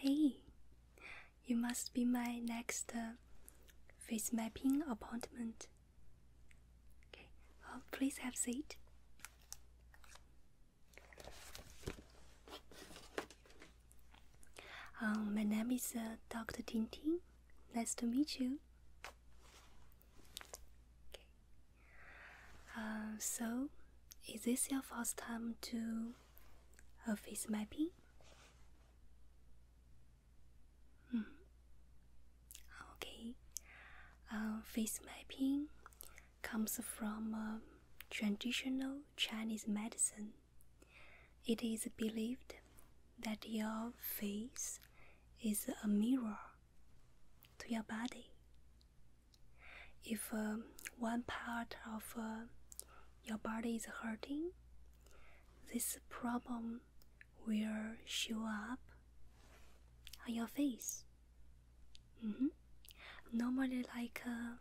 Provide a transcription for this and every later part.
Hey, you must be my next uh, face mapping appointment. Okay, please have a seat. Um, my name is uh, Dr. Tintin. Nice to meet you. Okay. Um, so, is this your first time to uh, face mapping? -hmm. Okay. Uh, face mapping comes from um, traditional Chinese medicine. It is believed that your face is a mirror to your body. If um, one part of uh, your body is hurting, this problem will show up on your face. Mm-hmm. Normally, like uh,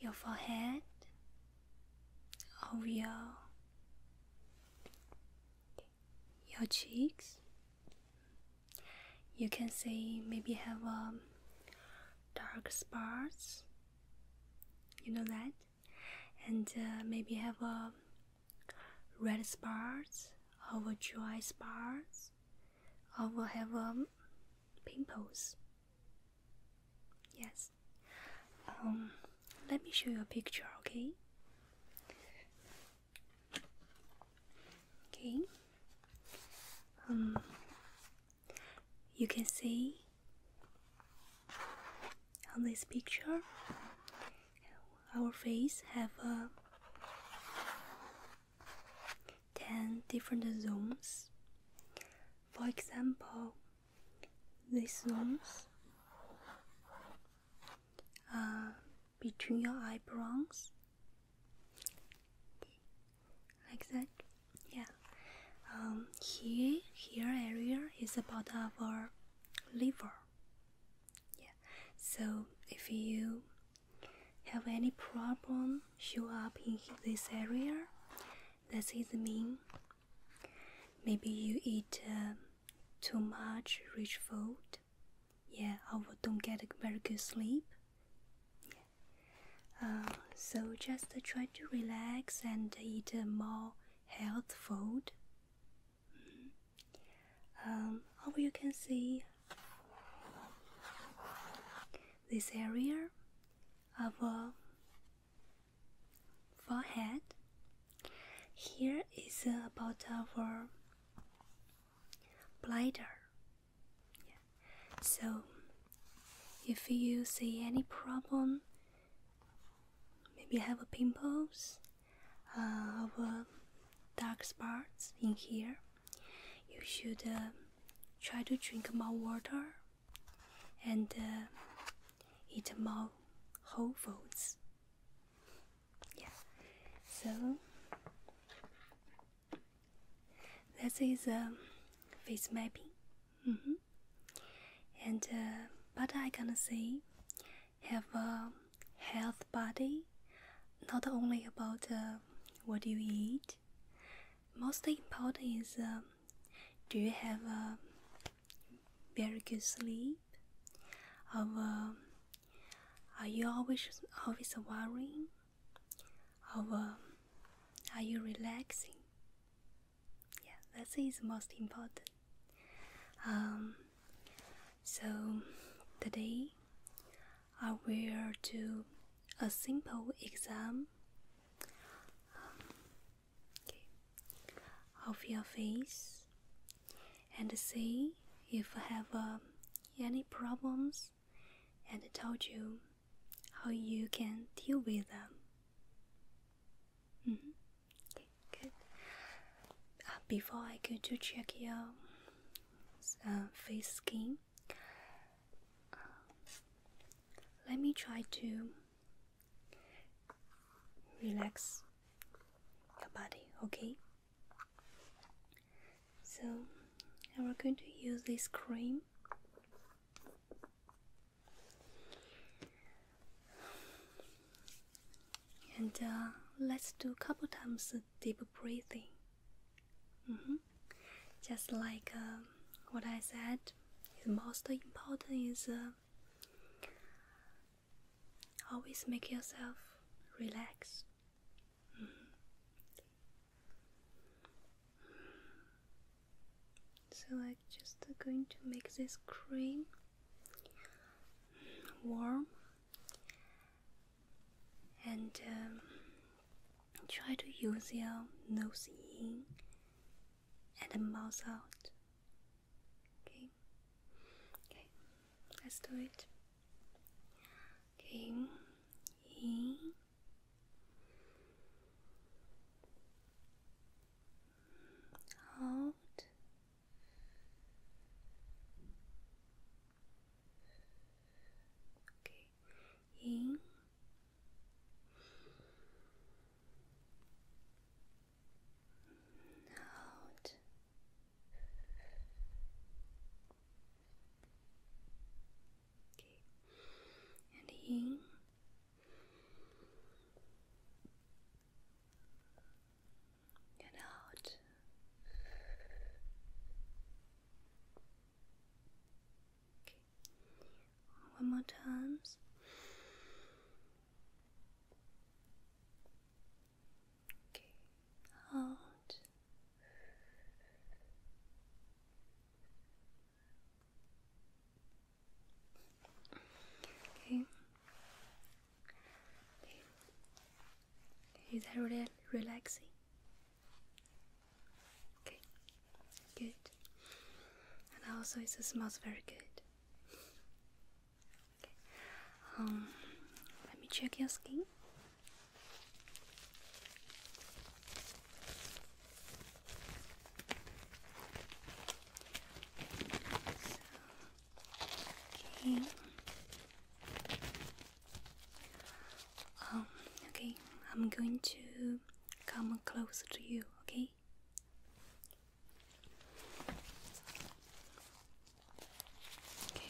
your forehead or your your cheeks. You can say maybe have um, dark spots. You know that, and uh, maybe have a um, red spots, or dry spots, or have um, pimples. Yes. Um, let me show you a picture, okay? Okay. Um, you can see on this picture our face have uh, 10 different zones. For example, these ones are uh, between your eyebrows, like that. Yeah. Um, here, here area is about our liver. Yeah. So if you have any problem show up in this area, that is mean Maybe you eat um, too much rich food. Yeah, or don't get very good sleep. Uh, so just try to relax and eat uh, more health food. Mm. you can see this area of uh, forehead. Here is about our bladder. So, if you see any problem, maybe have a pimples, uh, uh, dark spots in here, you should uh, try to drink more water and uh, eat more whole foods. Yeah, so this is a um, face mapping. Mm -hmm. And but uh, I can say have a health body, not only about uh, what you eat. Most important is. Um, do you have a very good sleep? Or, um, are you always always worrying? Or, um, are you relaxing? Yeah, that is most important. Um, so today I will do a simple exam of your face and see if you have um, any problems and told you how you can deal with them. -hmm. Okay, good. Uh, before I go to check your uh, face skin, um, let me try to relax your body, okay? So, and we're going to use this cream. And uh, let's do a couple times deep breathing. Mm -hmm. Just like uh, what I said, the most important is uh, always make yourself relax. Mm-hmm. So I'm just going to make this cream warm and um, try to use your nose in and mouth out Okay. Okay. Let's do it. Okay. In. Out. Okay. In out okay and in and out okay one more times. Okay, out. okay. Is that really relaxing? Okay. Good. And also, it smells very good. Okay. Um, let me check your skin. okay. Um, okay, I'm going to come close to you, okay? Okay.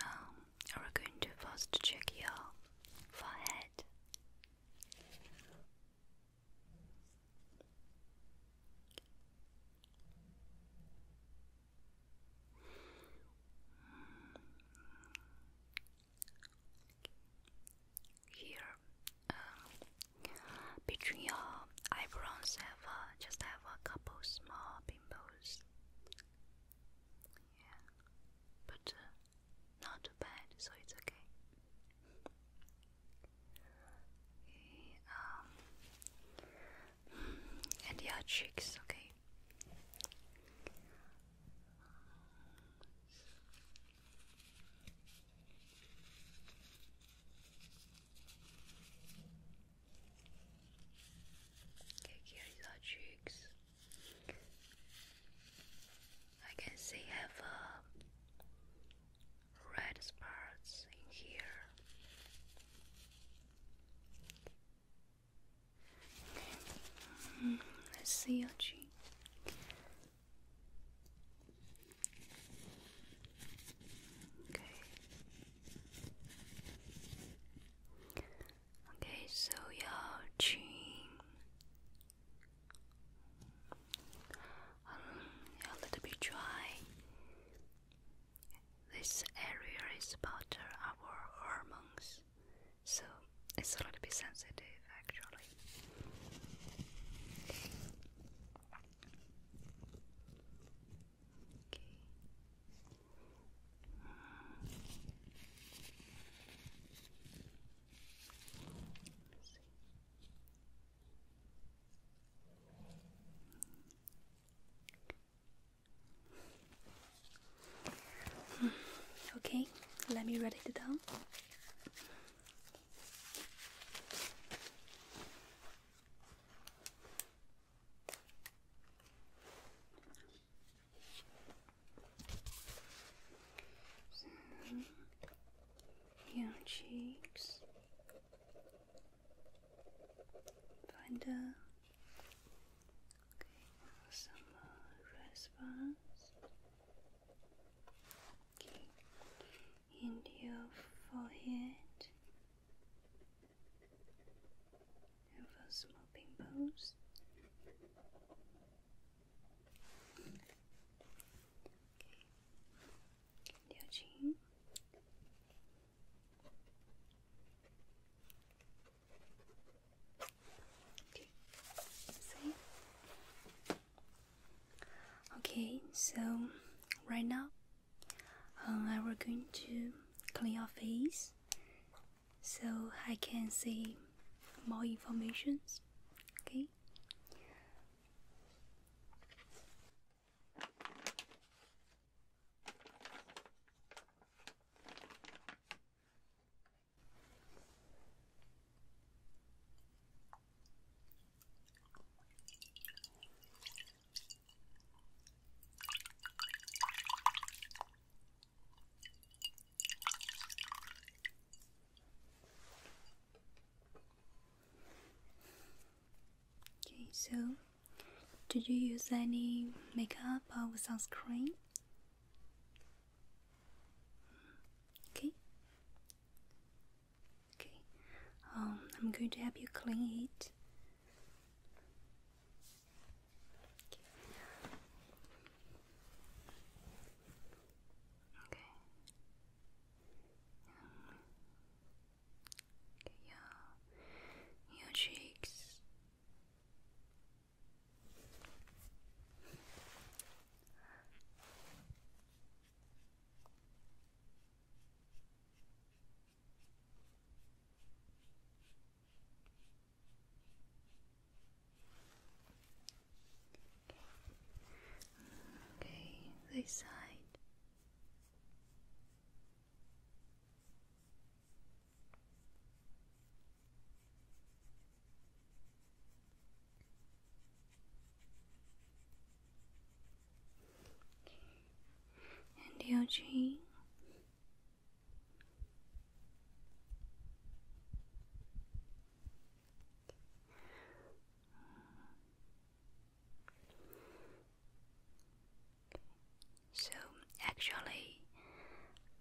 Um, we're going to first check your forehead here um, between your eyebrows have just have a couple small pimples yeah but uh, not bad so it's okay um and your cheeks okay Okay, here is our cheeks. I can see have a uh, red spots in here. Okay. Mm, let's see your cheek. Okay. Okay, so your chin. Um, a little bit dry. This area is about our hormones so it's a little bit sensitive actually. Okay, let me write it down. Your cheeks. Find Okay, some response. Okay, and your forehead. And for small pimples. Okay, your chin. Okay. See? Okay, so right now uh, I am going to clean your face so I can see more information. Okay. Okay, so did you use any makeup or sunscreen? Okay. Okay. Um, I'm going to help you clean it. Okay. Okay. Um, your cheeks. Okay, this side and your chin. So actually,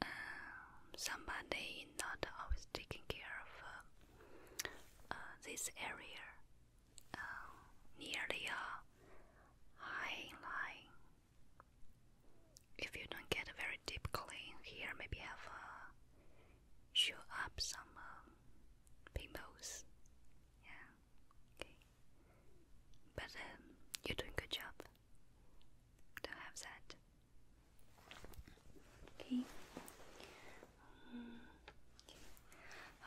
um, somebody not always taking care of uh, uh, this area um, uh, near high line. If you don't get a very deep clean here, maybe have uh, show up some um, pimples. Yeah, okay. But um, you're doing good job to have that. Okay. Um,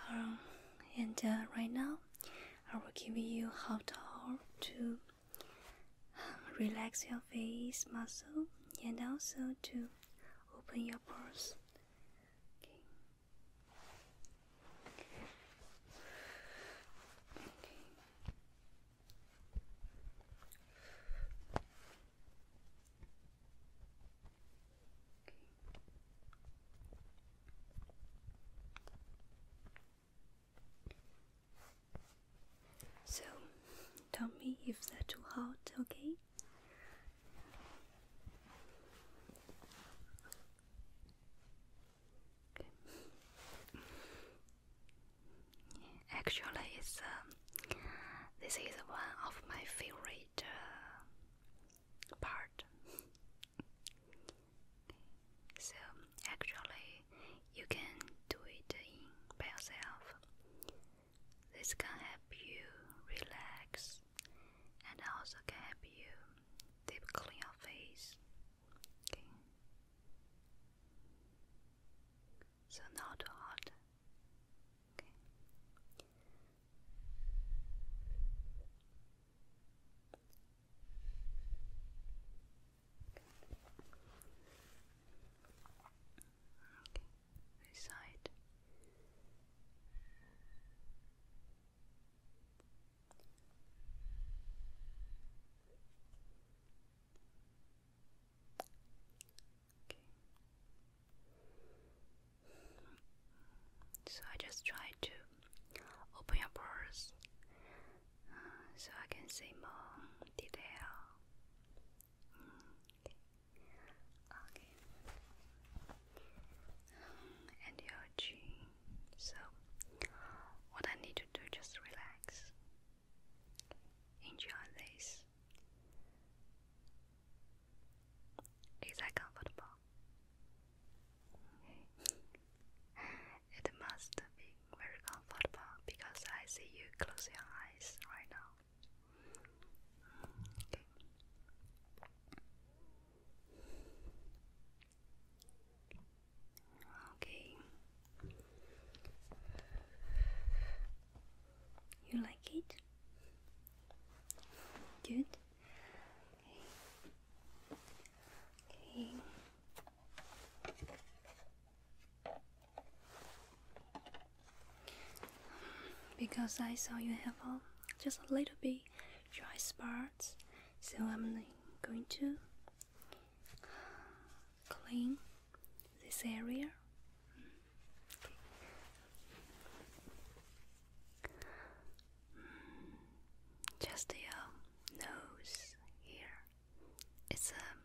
um and uh, right now, I will give you how to um, relax your face muscle and also to open your pores. So, tell me if they're too hot, okay. Actually, um, this is one of my favorite uh, part. so actually, you can do it in by yourself. This can help you relax, and also can help you deep clean your face. So now to hot. Okay. This side. So I just try to open your pores uh, so I can see more detail. Mm, okay. and your chin. So, what I need to do just relax. Enjoy this. Is that comfortable? it must be very comfortable because I see you close your eyes right now. Okay. You like it? Good. Okay. Because I saw you have a, just a little bit dry spot so I'm going to clean this area. Just your uh, nose here. It's a. Um,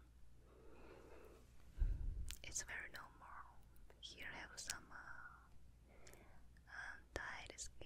it's very normal. Here have some uh, uh skin.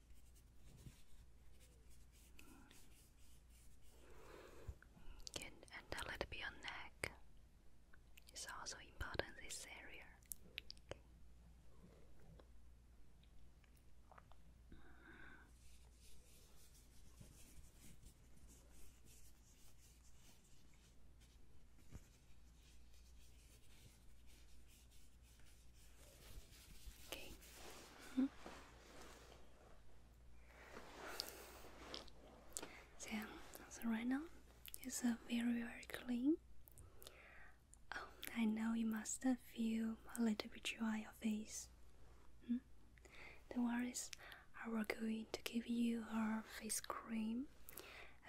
Good, and a little bit on neck is also important this area. Okay. Mm -hmm. so right now, it's very very clean. Oh, I know you must feel a little bit dry your face. Hmm? Don't worry, I will going to give you our face cream.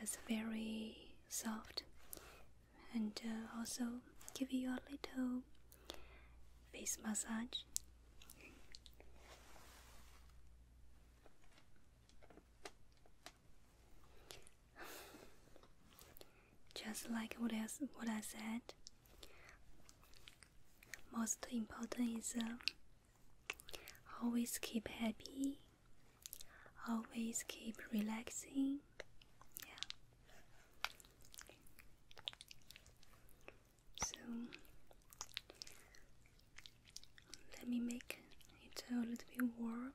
It's very soft, and uh, also give you a little face massage. Just like what else, what I said, most important is uh, always keep happy, always keep relaxing. Yeah. So let me make it a little bit warm.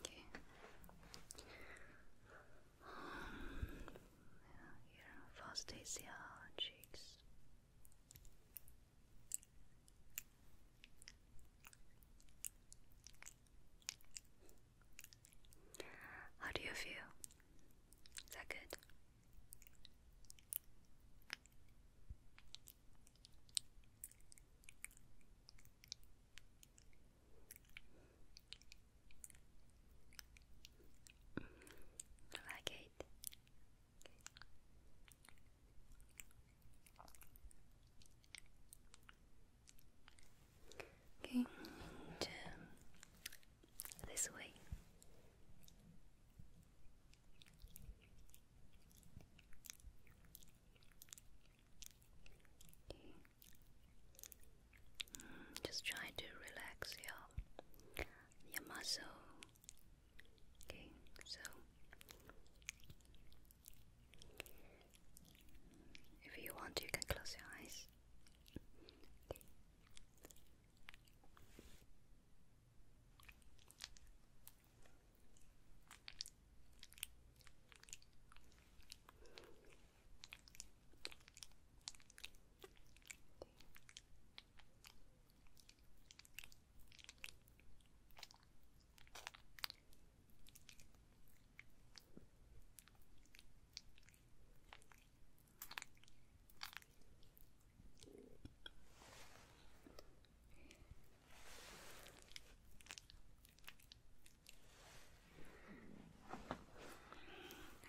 Okay. Um, first is your cheeks. How do you feel? Is that good? like it. Okay, this way. Mm, just try to relax your your muscle Okay, so if you want, you can close your eyes.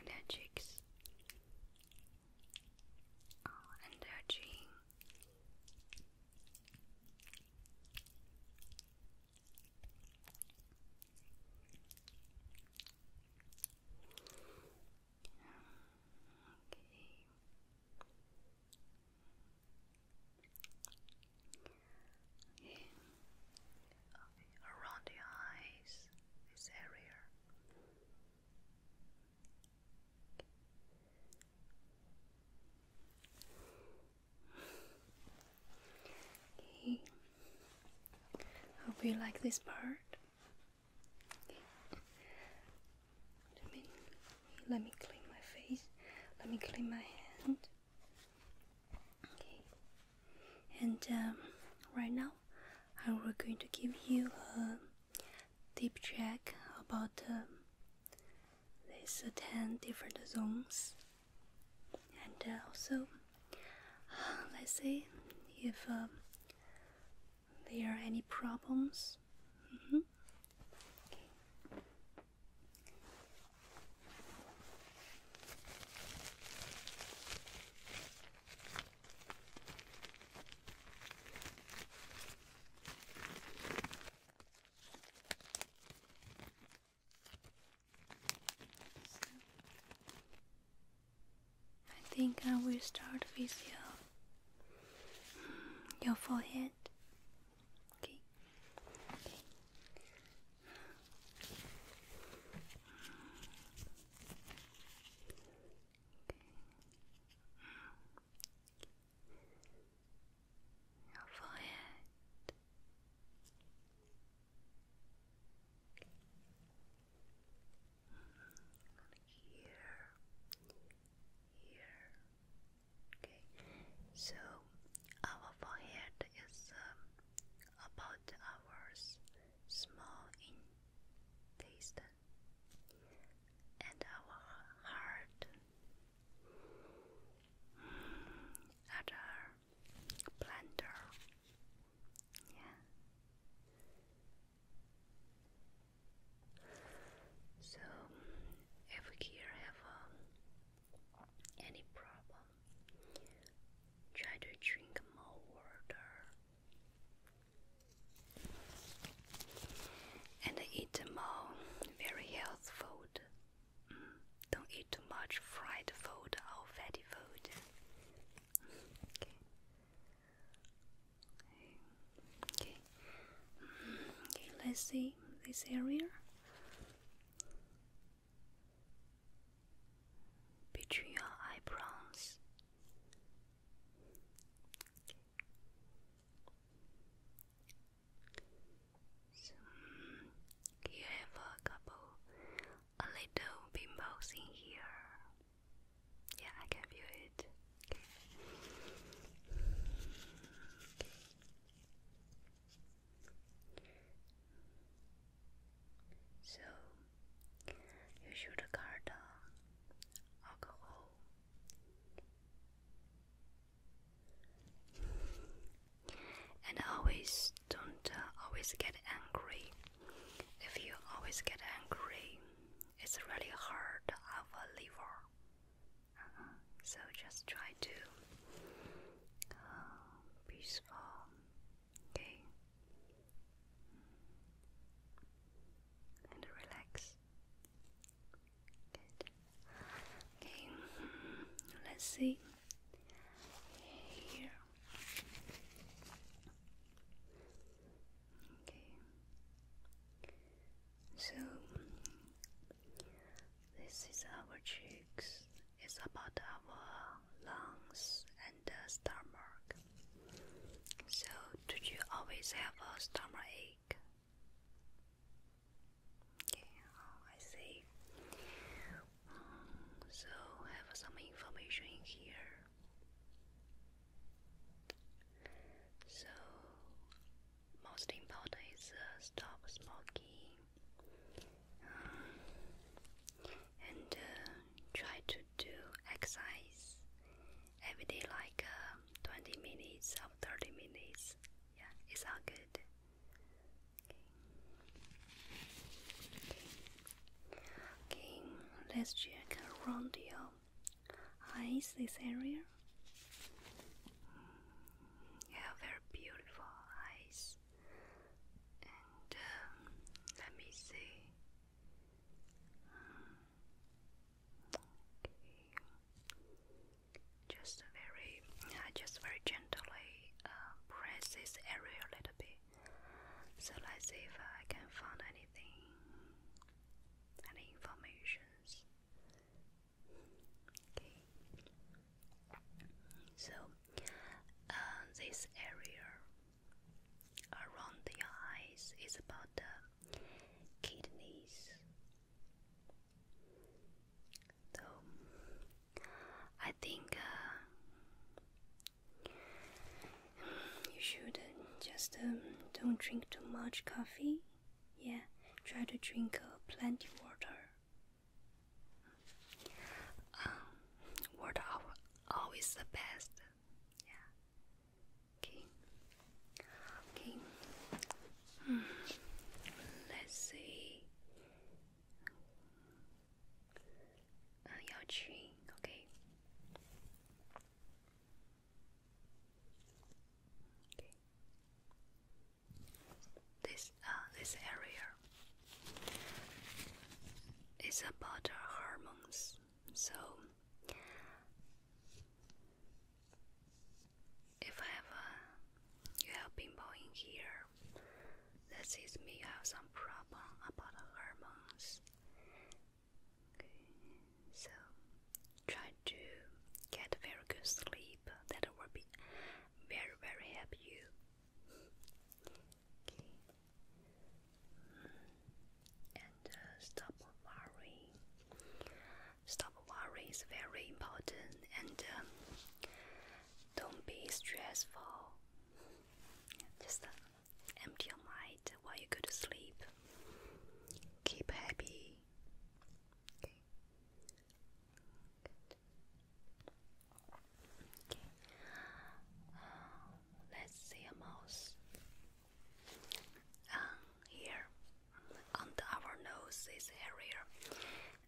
And her cheeks. Oh, and her dream. Okay. Okay. Around the eyes, this area. Okay. Hope you like this part. Let me, let me clean my face. Let me clean my hand. Okay. And um, right now, I am going to give you a uh, deep check about um, these 10 different zones and uh, also let's see if um, there are any problems mm-hmm. I think I will start with your hmm, your forehead. okay your forehead. Here, um, here. Okay, so our forehead is um, about our small intestine and our heart at our blender. Yeah. So if we here have uh, any problem, try to drink more water and eat more very health food. Mm, don't eat too much fried food or fatty food. Okay. Okay. Okay. Let's see this area between your eyebrows. So you have a couple, a little pimples in here. Yeah, I can feel it. So you should guard alcohol. And always don't uh, always get angry. If you always get angry, it's really hard of a liver. Uh-huh. So just try to peaceful uh, Okay. And relax. Good. Okay. Let's see. Here. Okay. So this is our cheeks. It's about our lungs and the stomach. So, do you always have a stomach ache? Oh, I see. Mm, so, have some information here. So, most important is uh, stop smoking and uh, try to do exercise every day, like uh, 20 minutes or 30 minutes. Yeah, it's all good. Okay, let's check around your eyes, this area. Mm, you have very beautiful eyes, and um, let me see. Just very, just very gently uh, press this area a little bit. So let's see if I can find anything, any informations. Okay. So, uh, this area around the eyes is about the kidneys. So I think uh, you should just um, don't drink too much coffee. Yeah, try to drink uh, plenty water. Um, water always the best. Yeah. Okay. Okay. Mm. Let's see. Uh, your Okay. Okay. This uh this area is about hormones. So, if I have a you have pimple in here, that is me. have some problem about hormones. so try to get very good sleep. That will be very very help you and uh, stop worrying. Stop worrying is very important, and um, don't be stressful. Just uh, empty your mind while you go to sleep. Keep happy let's see a mouse. Um, here on our nose, this area.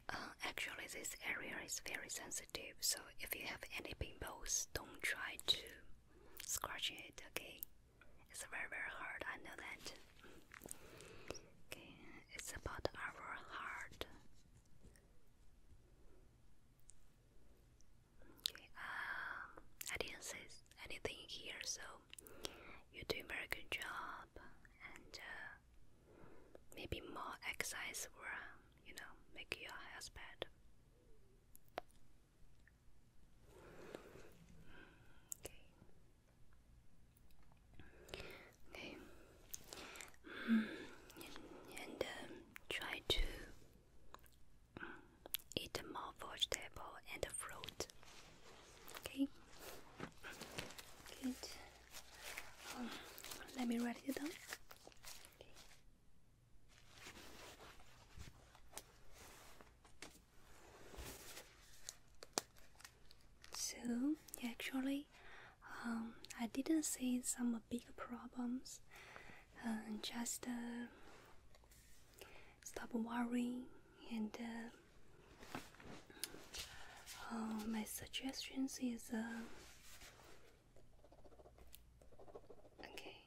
Uh, actually, this area is very sensitive, so if you have any pimples, don't try to scratch it. Okay, it's very very hard. I know that. Okay, it's about our heart. Okay, um, I didn't say anything here, so you're doing very good job, and uh, maybe more exercise will, you know, make your health better. Okay. Okay. Mm, and um, try to eat more vegetable and fruit. Okay, good. let me write it down. So actually, um, I didn't see some big problems uh, just stop worrying and uh, uh, my suggestions is uh, okay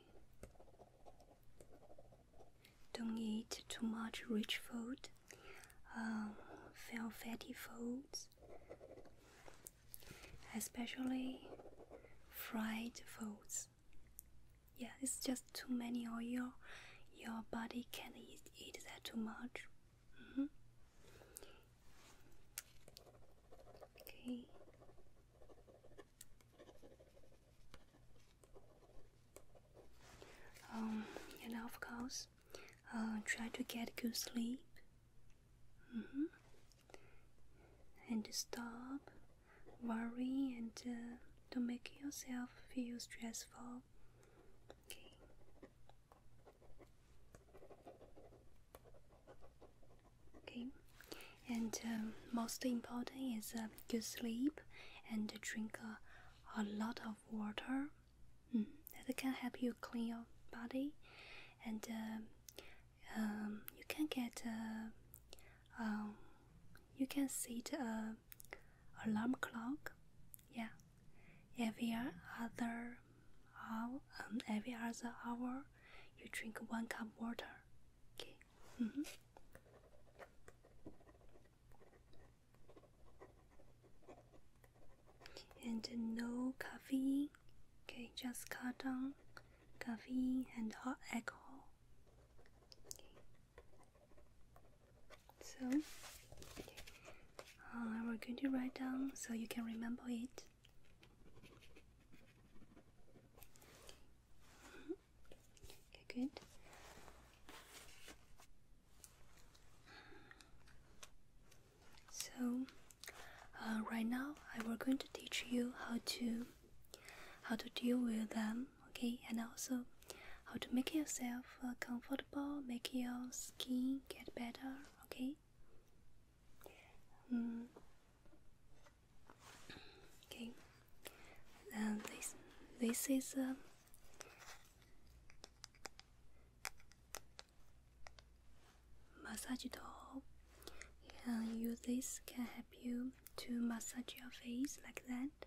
don't eat too much rich food um, fail fatty foods especially fried foods. Yeah, it's just too many oil. Your body can't eat, that too much. Mm-hmm. Okay. Um, and of course, uh, try to get good sleep. Mm -hmm and stop worry and uh, don't make yourself feel stressful. Okay. Okay. And um, most important is uh, good sleep and drink uh, a lot of water. Hmm. that can help you clean your body and um, um, you can get uh, um, you can set a alarm clock yeah every other hour um, every other hour you drink one cup water okay mm -hmm. and no coffee. okay just cut down Coffee and hot alcohol. So, uh, we're going to write down so you can remember it. Okay, good. So, uh, right now, I am going to teach you how to how to deal with them, okay, and also how to make yourself uh, comfortable, make your skin get better, okay. Mm. Okay, this this is. Uh, massage it doll. And use this can help you to massage your face like that.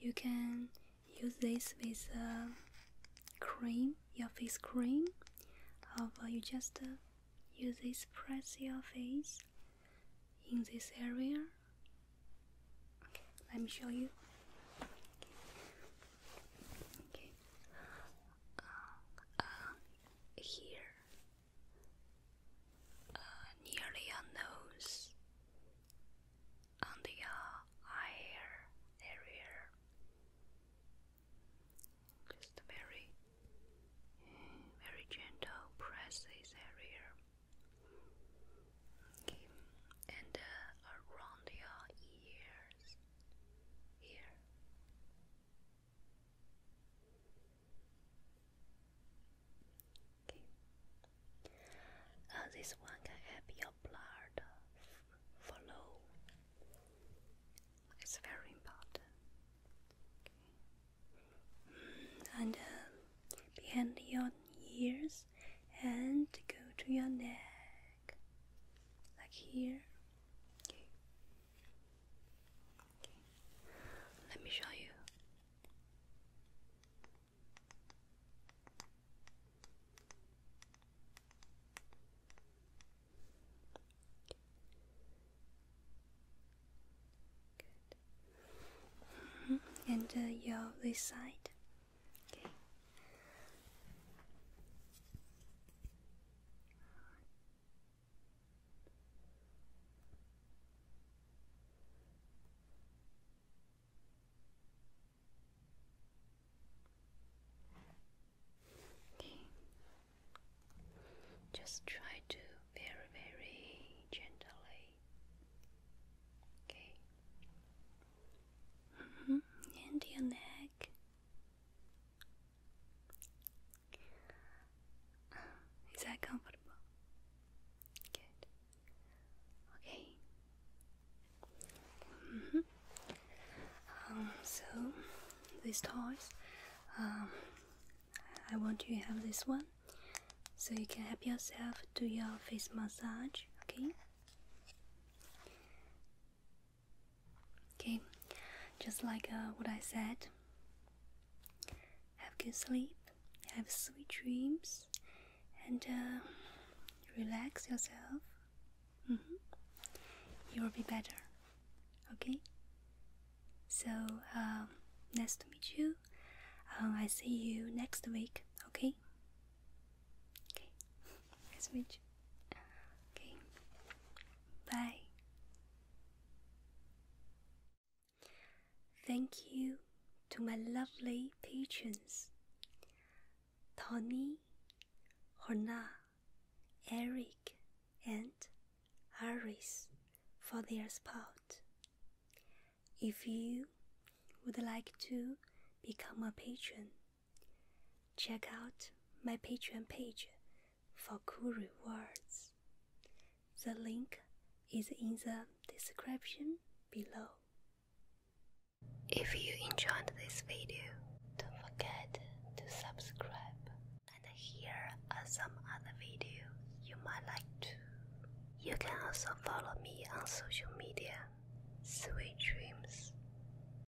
You can use this with a uh, cream, your face cream, or you just uh, use this press your face in this area. let me show you. Okay. Uh, here, uh, your nose, on the eye uh, area, just very, very gentle press this area. and uh, around your ears, here. Uh, this one can help your blood flow. It's very important. And behind uh, your ears, and go to your neck, like here. Let me show you. Good. Mm-hmm. And uh, your this side. Okay. Just try to very, very gently. Okay. Mm -hmm. And your neck. Is that comfortable? Good. Okay. Mm -hmm. Um. So these toys. Um. I want you to have this one, so you can help yourself do your face massage. Okay. Okay, just like uh, what I said, have good sleep, have sweet dreams, and uh, relax yourself. Mm-hmm. You'll be better. Okay? So, um, nice to meet you. Um, I see you next week. Okay? Okay. Nice to meet you. Okay. Bye. Thank you to my lovely patrons Tony, Horna, Eric, and Aris for their support. If you would like to become a patron, Check out my Patreon page for cool rewards. The link is in the description below. If you enjoyed this video, don't forget to subscribe and here are some other videos you might like too. You can also follow me on social media. Sweet dreams.